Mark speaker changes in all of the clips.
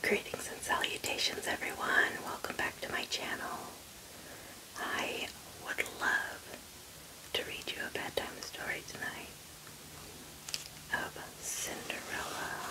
Speaker 1: Greetings and salutations everyone. Welcome back to my channel. I would love to read you a bedtime story tonight of Cinderella.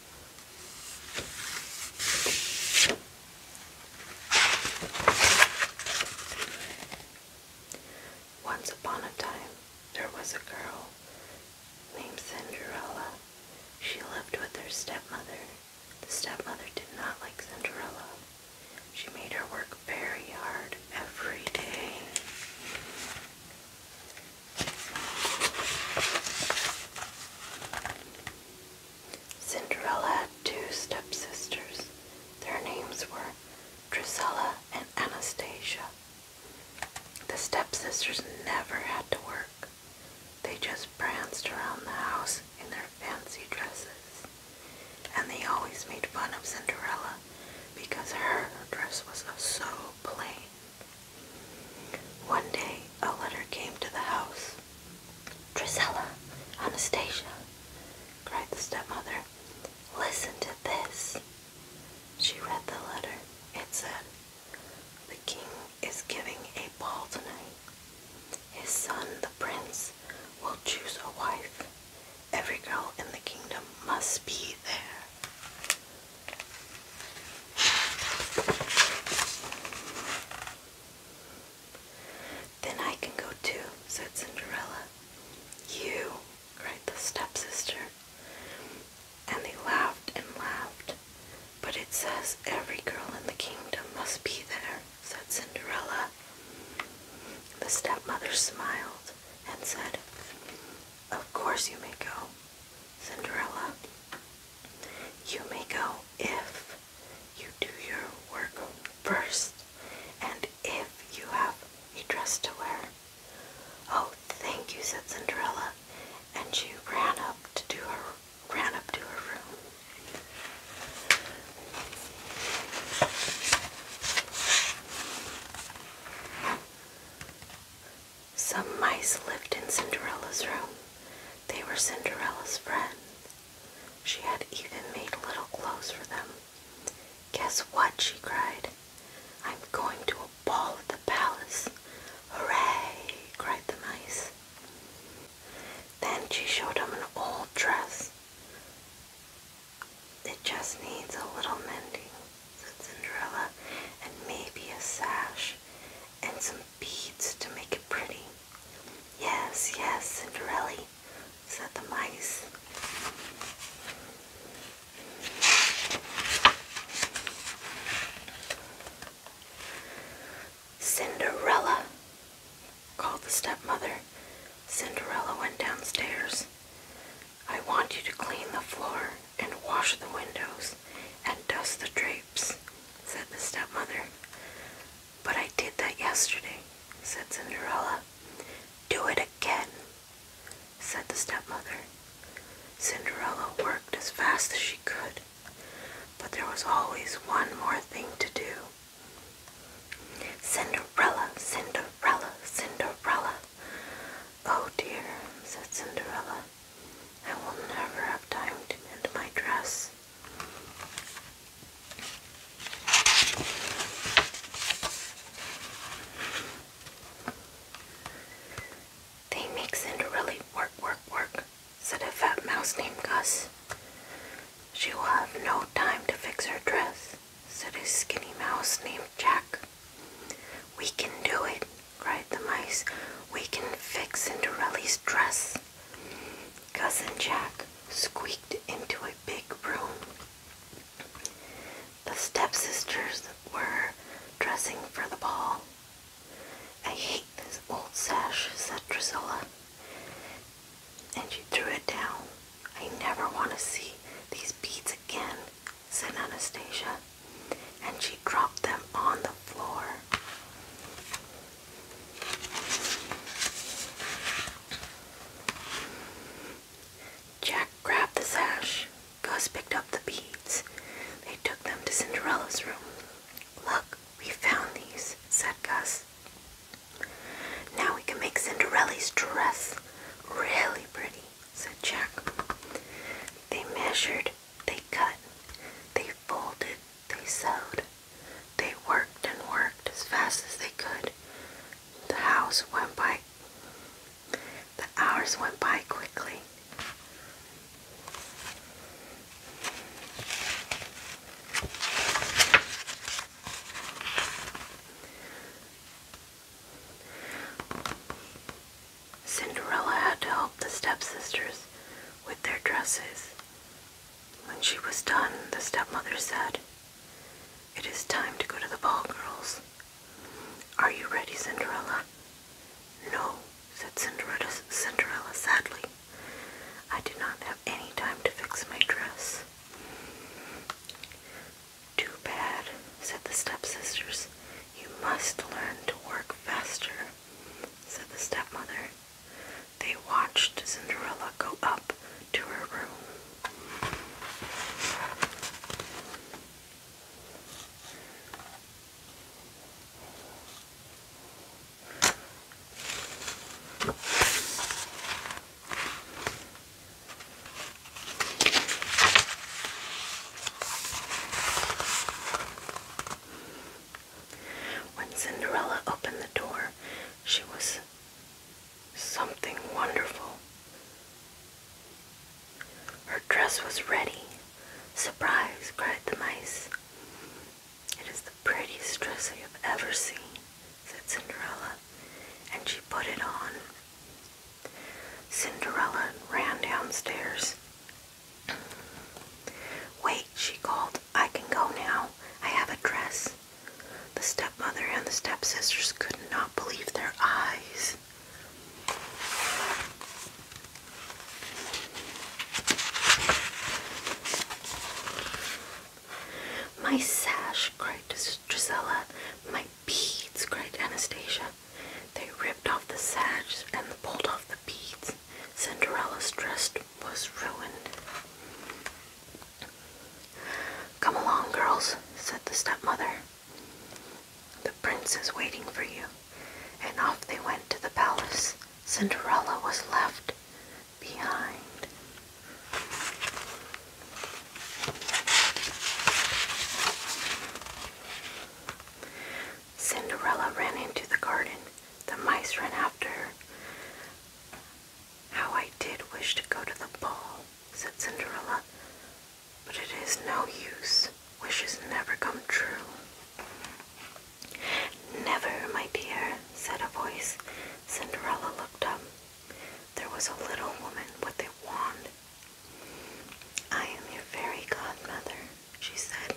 Speaker 1: Once upon a time, there was a girl named Cinderella. She lived with her stepmother. The stepmother did not like Cinderella. She made her work very hard every day. Cinderella had two stepsisters. Their names were Drusilla and Anastasia. The stepsisters never had to work. They just pranced around the house in their fancy dresses. And they always made fun of Cinderella because her dress was so plain. One day, a letter came to the house. Drisella, Anastasia, cried the stepmother, listen to this. She read the letter. It said, The king is giving a ball tonight. His son, the prince, will choose a wife. Every girl in the kingdom must be there. Then I can go too, said Cinderella. You, cried the stepsister. And they laughed and laughed. But it says every girl in the kingdom must be there, said Cinderella. The stepmother smiled and said, Of course you may go, Cinderella. You may go if you do your work first and if you have a dress to wear. Oh, thank you, said Cinderella, and she ran up to do her ran up to her room. Some mice lived in Cinderella's room. They were Cinderella's friends. She had even made little clothes for them. Guess what? she cried. I'm going to a ball at the palace. Hooray! cried the mice. Then she showed them an old dress. It just needs a little mending. Cinderella, and maybe a sash and some beads to make it pretty. Yes, yes, Cinderella, said the mice. Cinderella, called the stepmother. Cinderella went downstairs. I want you to clean the floor and wash the windows and dust the drapes, said the stepmother. But I did that yesterday, said Cinderella. Do it again, said the stepmother. Cinderella worked as fast as she could, but there was always one more thing to do. Cinderella, Cinderella, Cinderella, Oh dear, said Cinderella, I will never have time to mend my dress. They make Cinderella work, work, work, said a fat mouse named Gus. She will have no time to fix her dress, said a skinny mouse named Jack. We can do it, cried the mice. We can fix Cinderella's dress. Cousin Jack squeaked into a big room. The stepsisters were dressing for the ball. I hate this old sash, said Drusilla. And she threw it down. I never want to see these beads again said Anastasia, and she dropped them on the floor. Jack grabbed the sash. Gus picked up the beads. They took them to Cinderella's room. Look, we found these, said Gus. Now we can make Cinderella's dress really pretty said Jack. They measured, they cut, they folded, they sewed, they worked and worked as fast as they could. The hours went by. The hours went by quickly. Cinderella had to help the stepsisters with their dresses. When she was done, the stepmother said, It is time to go to the ball, girls. Are you ready, Cinderella? No, said Cinderella, sadly. I did not have any time to fix my dress. Too bad, said the stepsisters. You must learn to work faster, said the stepmother. They watched Cinderella go up to her room. When Cinderella opened the door, she was something wonderful. Her dress was ready. Surprise, cried the mice. It is the prettiest dress I have ever seen, said Cinderella, and she put it on. Cinderella ran downstairs. Wait, she called. I can go now. I have a dress. The stepmother and the stepsisters could not believe their eyes. My sash, cried Drisella. My beads, cried Anastasia. They ripped off the sash and pulled off the beads. Cinderella's dress was ruined. Come along, girls, said the stepmother. The prince is waiting for you. And off they went to the palace. Cinderella was left behind. Cinderella ran into the garden. The mice ran after her. How I did wish to go to the ball, said Cinderella, but it is no use. Wishes never come true. Never, my dear, said a voice. Cinderella looked up. There was a little woman with a wand I am your fairy godmother, she said.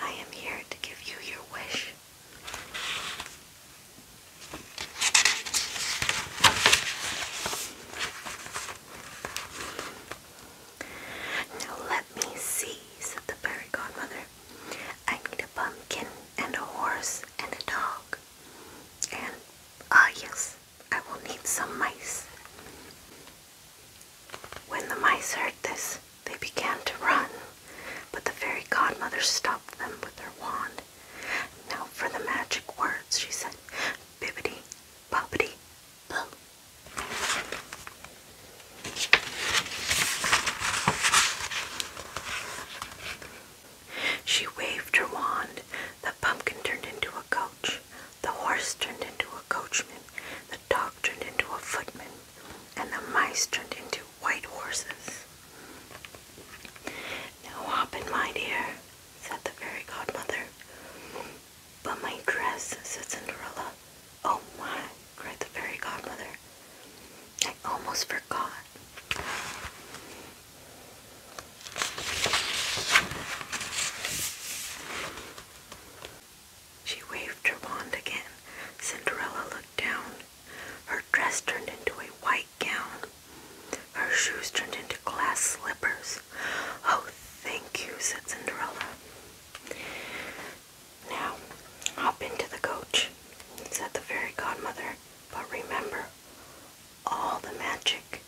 Speaker 1: I am here to give you your wish. Now let me see, said the fairy godmother. I need a pumpkin and a horse and a dog. And, ah, uh, yes, I will need some mice. When the mice heard this, they began to run, but the fairy godmother stopped them with her wand. Now for the magic words, she said, Bibbidi, bobbidi, boo. She waved her wand. The pumpkin turned into a coach. The horse turned into a coachman, the dog turned into a footman, and the mice turned into white horses. Now hop in my dear, said the fairy godmother. But my dress, said Cinderella. Oh my, cried the fairy godmother. I almost forgot. She waved her wand again. Cinderella looked down. Her dress turned into a white gown. Her shoes turned into glass slippers. Oh, thank you, said Cinderella. Now, hop into the coach, said the fairy godmother. But remember, all the magic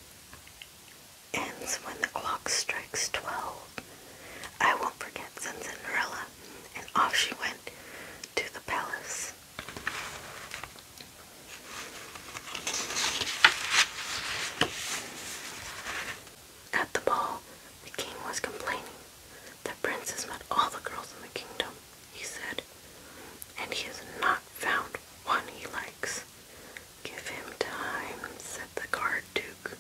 Speaker 1: ends when the clock strikes twelve. I won't forget, said Cinderella, and off she went to the palace. At the ball, the king was complaining. The prince met all the girls in the kingdom, he said, and he has not found one he likes. Give him time, said the guard duke.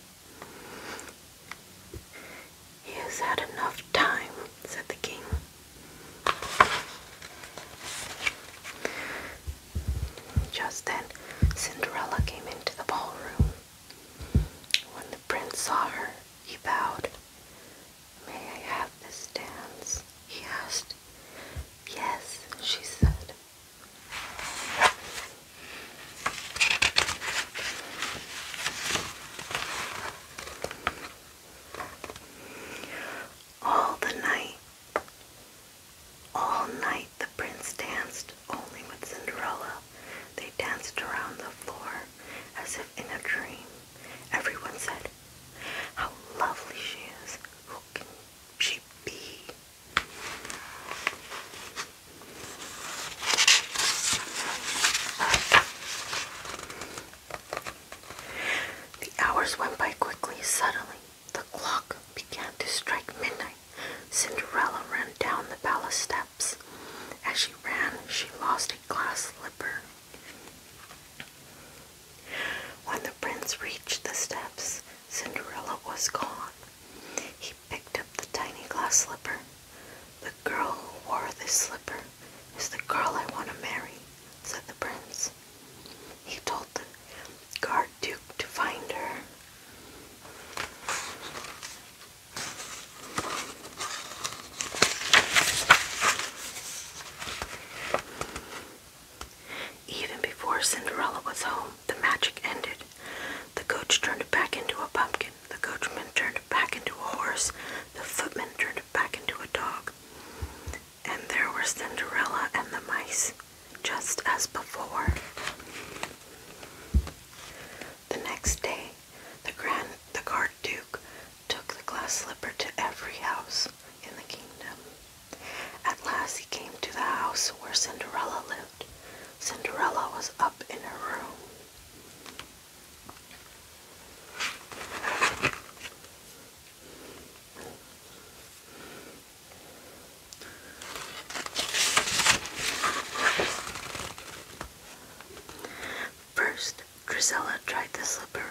Speaker 1: He has had enough time, said the king. Just then, Cinderella came into the ballroom. When the prince saw her, he bowed. May I have this dance? he asked. Yes, she said. All the night, all night the prince danced only with Cinderella. They danced around the floor as if in a dream. Everyone said, How lovely she is! Who can the hours went by quickly. Suddenly, the clock began to strike midnight. Cinderella ran down the palace steps. As she ran, she lost a glass slipper. When the prince reached the steps, Cinderella was gone. He picked up the tiny glass slipper. The girl who wore this slipper is the girl I want to marry, said the prince. He told the guard duke to find her. Even before Cinderella was home, the magic ended. The coach turned back into a pumpkin, the coachman turned back into a horse, the footman turned back into a dog. And there were Cinderella and the mice, just as before. The next day, the Grand the Guard Duke took the glass slipper to every house in the kingdom. At last he came to the house where Cinderella lived. Cinderella was up in her room. First, Drizella tried the slipper.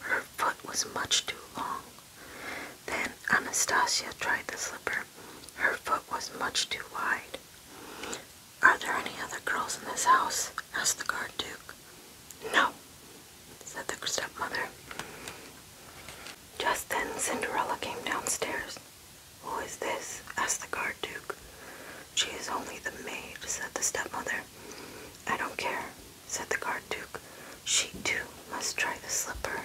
Speaker 1: Her foot was much too long. Then Anastasia tried the slipper. Her foot was much too wide. Are there any other girls in this house? asked the guard duke. No, said the stepmother. Just then Cinderella came downstairs. Who is this? asked the guard duke. She is only the maid, said the stepmother. I don't care, said the guard duke. She too must try the slipper.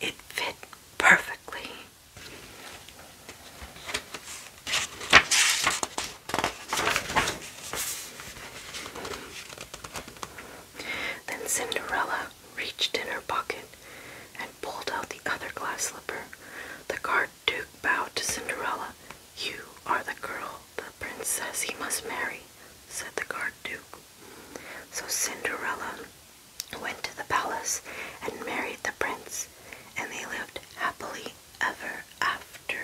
Speaker 1: It fit perfectly. Then Cinderella reached in her pocket and pulled out the other glass slipper. The guard duke bowed to Cinderella. You are the girl the princess he must marry, said the guard duke. So Cinderella went to the palace and married the prince, and they lived happily ever after.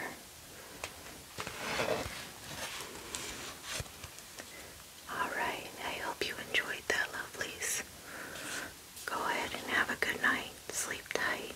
Speaker 1: Alright, I hope you enjoyed that, lovelies. Go ahead and have a good night. Sleep tight.